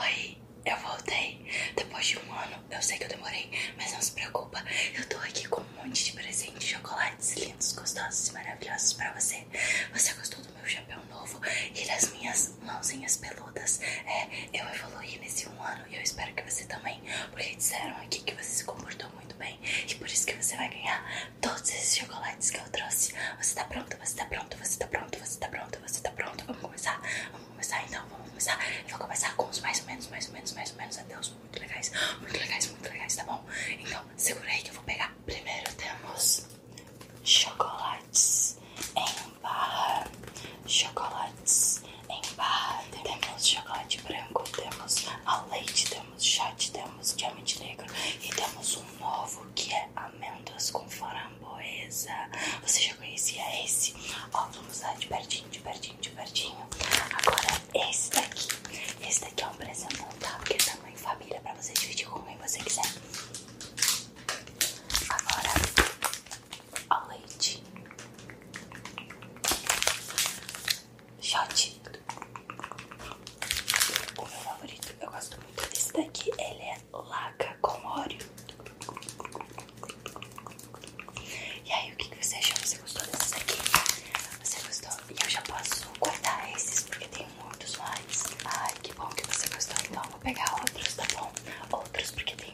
Oi, eu voltei. Depois de um ano, eu sei que eu demorei, mas não se preocupa. Eu tô aqui com um monte de presente, chocolates lindos, gostosos e maravilhosos pra você. Você gostou do meu chapéu novo e das minhas mãozinhas peludas? É, eu evoluí nesse um ano e eu espero que você também, porque disseram aqui que você se comportou muito bem e por isso que você vai ganhar todos esses chocolates que trouxe. Você tá pronto? Você tá pronto? Você tá pronto? Você tá pronto? Você tá pronto? Vamos começar? Vamos começar então? Vamos começar? Eu vou começar com os mais ou menos, mais ou menos, mais ou menos. Adeus, muito legais, muito legais, muito legais, tá bom? Então, segura aí que eu vou pegar. Primeiro temos chocolates em bar Chocolates em bar Temos chocolate branco, temos ao leite, temos chate, temos diamante negro e temos um novo que é amêndoas com fora boesa Você já conhecia esse? Ó, vamos lá de pertinho, de pertinho, de pertinho. Agora esse daqui. Esse daqui é um presentão, tá? Porque é tá tamanho família pra você dividir com quem você quiser. Agora, ó, leite. Shot. O meu favorito, eu gosto muito desse daqui. Ele é é laca com óleo. E aí, o que, você achou? Você gostou desses aqui? Você gostou? E eu já posso guardar esses porque tem muitos mais. Ai, que bom que você gostou. Então, vou pegar outros, tá bom? Outros, porque tem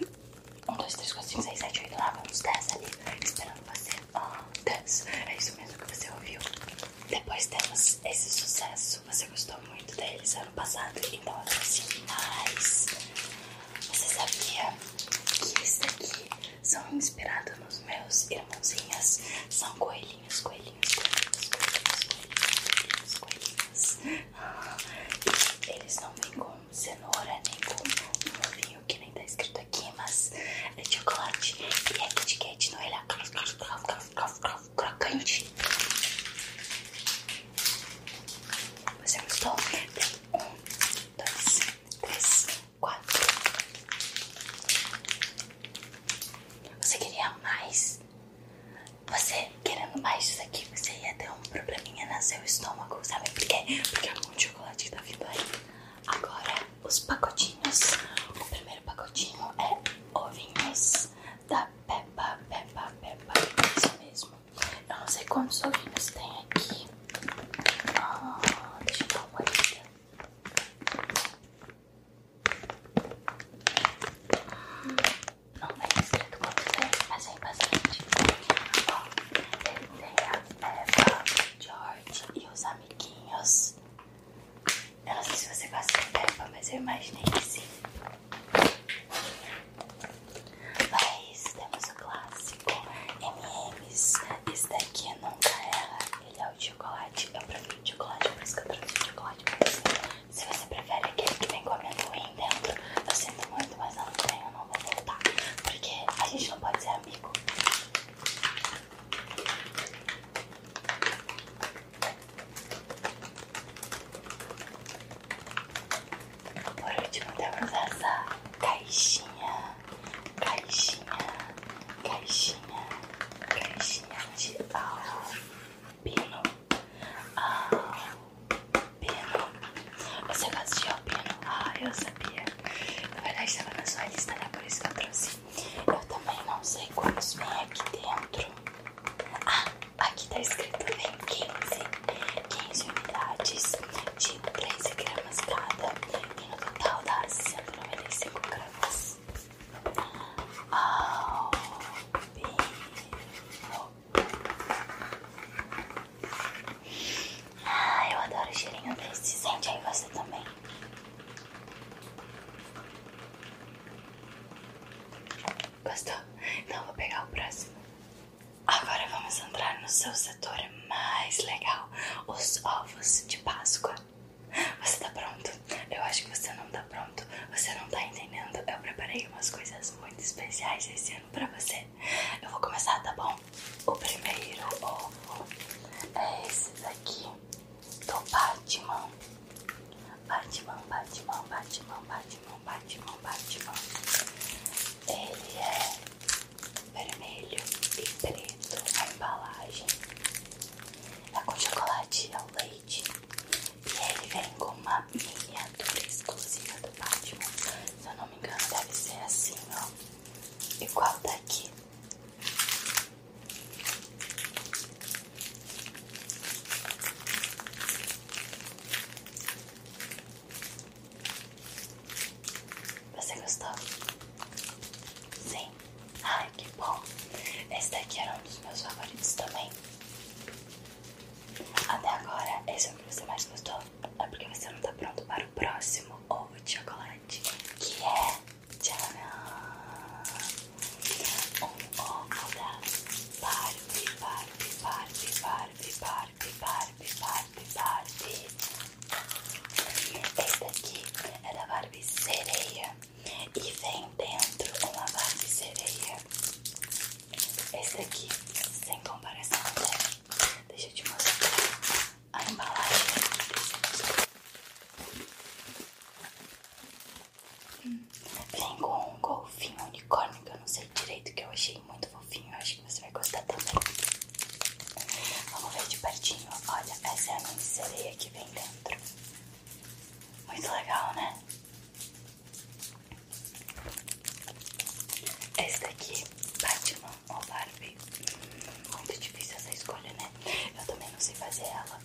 1, 2, 3, 4, 5, 6, 7, 8, 9, uns 10 ali esperando você. Ah, 10. É isso mesmo que você ouviu. Depois temos esse sucesso. Você gostou muito deles ano passado, então eu trouxe mais. Você sabia que isso daqui são inspirados nos meus irmãozinhos? São coelhinhos, coelhinhos, coelhinhos, coelhinhos, coelhinhos, coelhinhos. Ah, e eles não vêm com cenoura, nem com um ovinho que nem tá escrito aqui, mas é chocolate e é Kit Kat, não é? crocante. Você gostou? Tem um, dois, três, quatro. Você queria mais? Você querendo mais isso aqui, você ia ter um probleminha no seu estômago, sabe por quê? Porque é muito chocolate que tá vindo Agora, os pacotinhos. O primeiro pacotinho é ovinhos da Peppa, Peppa, Peppa, isso mesmo. Eu não sei quantos ovinhos tem aqui. Ah, deixa eu dar uma olhada. Não tem escrito quanto tem, mas tem bastante. Ó, ele tem a Peppa, George e os amiguinhos. Eu não sei se você gosta de pepa, mas eu imaginei que sim. Mas temos o clássico M&M's. Esse daqui é nunca erra. Ele é o chocolate. Eu prefiro de chocolate, por isso que eu trouxe de chocolate pra Se você prefere aquele que vem comendo amendoim dentro, eu sinto muito, mas ano que vem eu não vou voltar. Porque a gente não pode ser amigo. Por último, temos essa caixinha, caixinha, caixinha, caixinha de alpino, alpino. Você gosta de alpino? Ah, eu sabia. Na verdade, estava na sua lista, né? Por isso que eu também não sei quantos vem aqui dentro. Ah, aqui tá escrito vem 15, 15 unidades de 13 gramas cada. E no total dá 195 gramas. Oh, ah, eu adoro o cheirinho desse. Sente aí você também. Gostou? Então vou pegar o próximo. Agora vamos entrar no seu setor mais legal, os ovos de Páscoa. Você tá pronto? Eu acho que você não tá pronto. Você não tá entendendo. Eu preparei umas coisas muito especiais esse ano pra você. Eu vou começar, tá bom? O primeiro ovo é esse daqui do então, Batman. Batman, Batman, Batman, Batman, Batman, Batman. Ele é vermelho e preto a embalagem. É com chocolate ao leite. E ele vem com uma miniatura exclusiva do Batman. Se eu não me engano, deve ser assim, ó. Igual daqui. Você gostou? Sim? Ai, que bom! Esse daqui era um dos meus favoritos também. Até agora, esse é o que você mais gostou? É porque você não está pronto para o próximo ovo de chocolate, que é Tcharam! Um óculos da Barbie, Barbie, Barbie, Barbie, Barbie, Barbie, Barbie, Barbie. Esse aqui é da Barbie Sereia e vem dentro uma Barbie Sereia. Esse aqui sem comparação, né? deixa eu te mostrar a embalagem. Vem com um golfinho unicórnio que eu não sei direito, que eu achei muito fofinho. acho que você vai gostar também. Vamos ver de pertinho. Olha, essa é a minha sereia que vem dentro. Muito legal, né? Esse daqui, Batman ou Barbie? Muito difícil essa escolha, né? Eu também não sei fazer ela.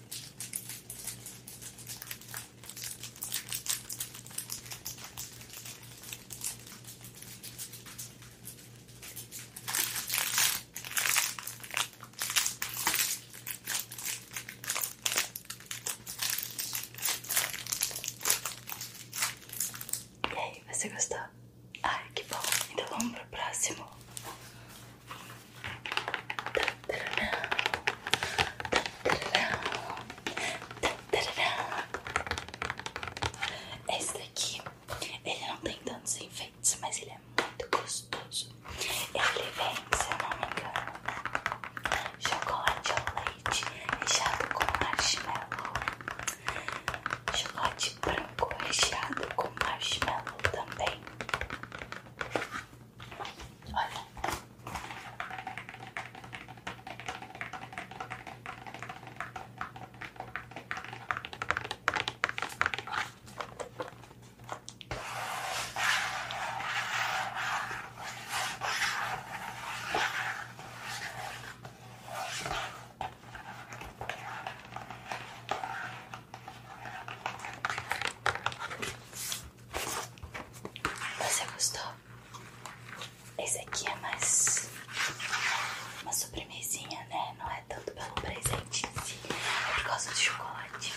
E aí, você gostou? Ai, que bom. Então vamos pro próximo. Esse daqui, ele não tem tantos enfeites, mas ele é muito gostoso. Ele vem, se eu não me engano, chocolate ao leite recheado com marshmallow, chocolate chocolate branco recheado com marshmallow também. Olha. Você gostou? Esse aqui é mais uma sobremesinha, né? Não é tanto pelo presente em si, é por causa do chocolate.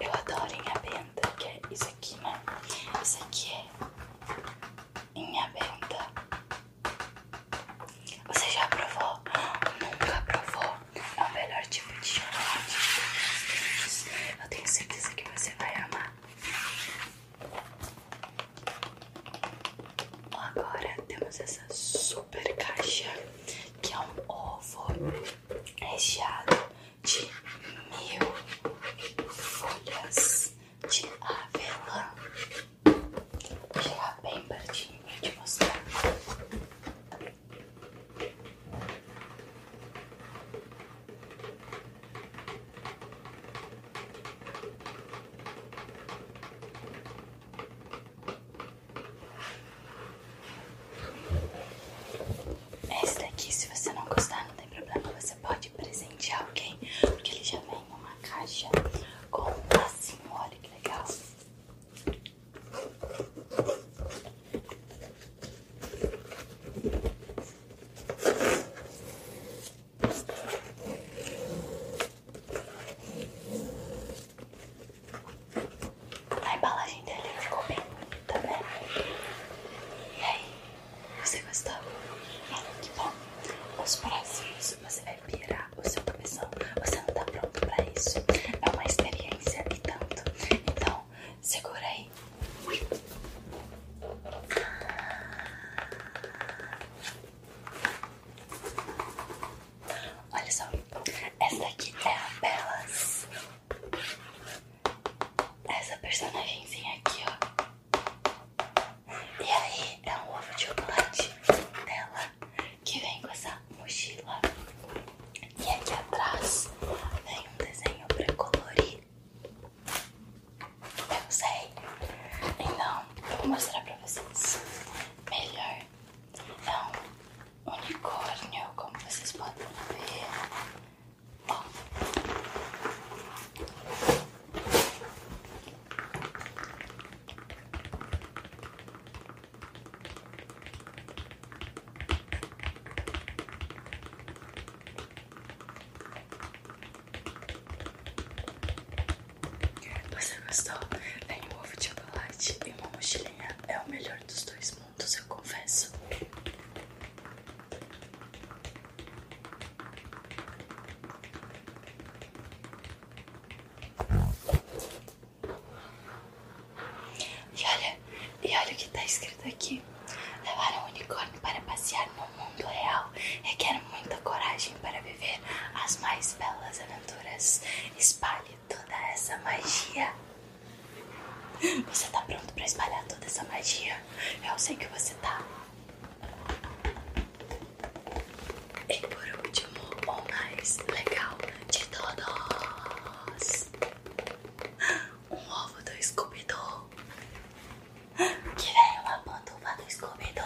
Eu adoro em a benda, que é isso aqui, né? Isso aqui é em aberta. Você já provou? Nunca aprovou? É o melhor tipo de chocolate. Eu tenho certeza que você vai amar. Agora temos essa super caixa que é um ovo recheado de mil folhas de avelã. Vou chegar bem pertinho pra te mostrar. Esse daqui, se você não gostar, não tem problema, você pode precisar presente a alguém, porque ele já vem numa caixa com um lacinho, olha que legal. A embalagem dele ficou bem bonita, né? E aí, você gostou? É, que bom. Os próximos você vai virar o seu cabeção. Você não tá pronto pra isso. É uma experiência e tanto. Então, segura aí. Olha só, essa aqui é a Belas essa personagemzinha aqui, ó. E aí é um ovo de chocolate dela que vem com essa mochila. E aqui atrás vem um desenho pra colorir. Eu sei. Então, eu vou mostrar pra vocês melhor. É então, um unicórnio, como vocês podem ver. Você gostou? Tem um ovo de chocolate e uma mochilinha. É o melhor dos dois mundos. Então, eu confesso. E olha, e olha o que está escrito aqui. Levar um unicórnio para passear no mundo real requer muita coragem para viver as mais belas aventuras. Espalhe toda essa magia. Você está pronto para espalhar toda essa magia? Eu sei que você está. E por último, o mais legal de todos: um ovo do Scooby-Doo. Que é uma pantufa do Scooby-Doo.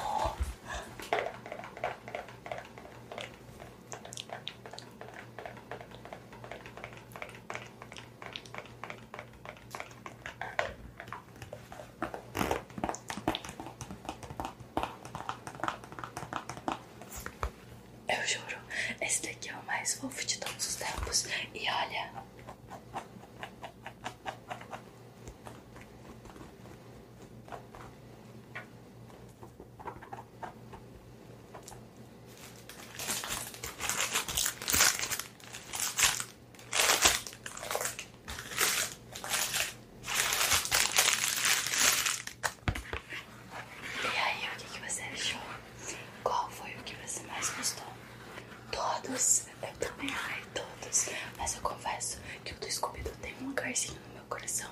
Eu juro, esse daqui é o mais fofo de todos os tempos. E olha. E aí, o que, você achou? Qual foi o que você mais gostou? Todos, eu também amei todos, mas eu confesso que o do Scooby-Doo tem um lugarzinho no meu coração.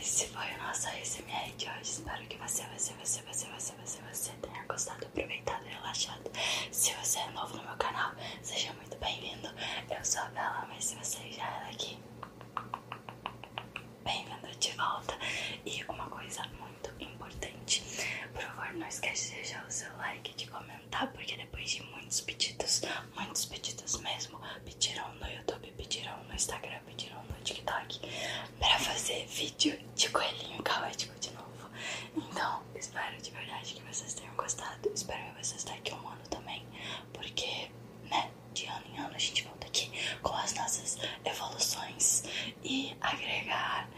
esse foi o nosso ASMR de hoje. Espero que você, você, você, você, você, se você tenha gostado, aproveitado e relaxado. Se você é novo no meu canal, seja muito bem-vindo. Eu sou a Bela, mas se você já era é aqui, bem-vindo de volta. E uma coisa muito importante: por favor, não esquece de deixar o seu like, de comentar, porque depois de muitos pedidos, muitos pedidos mesmo, pediram no YouTube, pediram no Instagram pediram no TikTok pra fazer vídeo de coelhinho caótico de novo. Então, espero de verdade que vocês tenham gostado. Espero que vocês daqui a um ano também, porque, né, de ano em ano a gente volta aqui com as nossas evoluções e agregar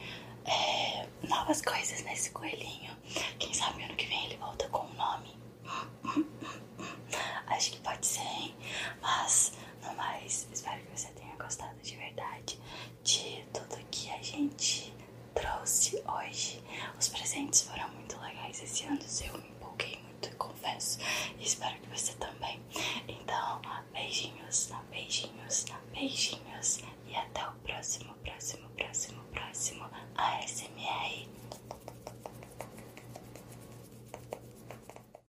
é, novas coisas nesse coelhinho. Quem sabe ano que vem ele volta com um nome. Acho que pode ser, hein? Mas, no mais, espero que vocês tenham gostado de verdade de tudo que a gente trouxe hoje. Os presentes foram muito legais esse ano, eu me empolguei muito, e confesso. E espero que você também. Então, beijinhos, beijinhos, beijinhos. E até o próximo, próximo, próximo, próximo ASMR.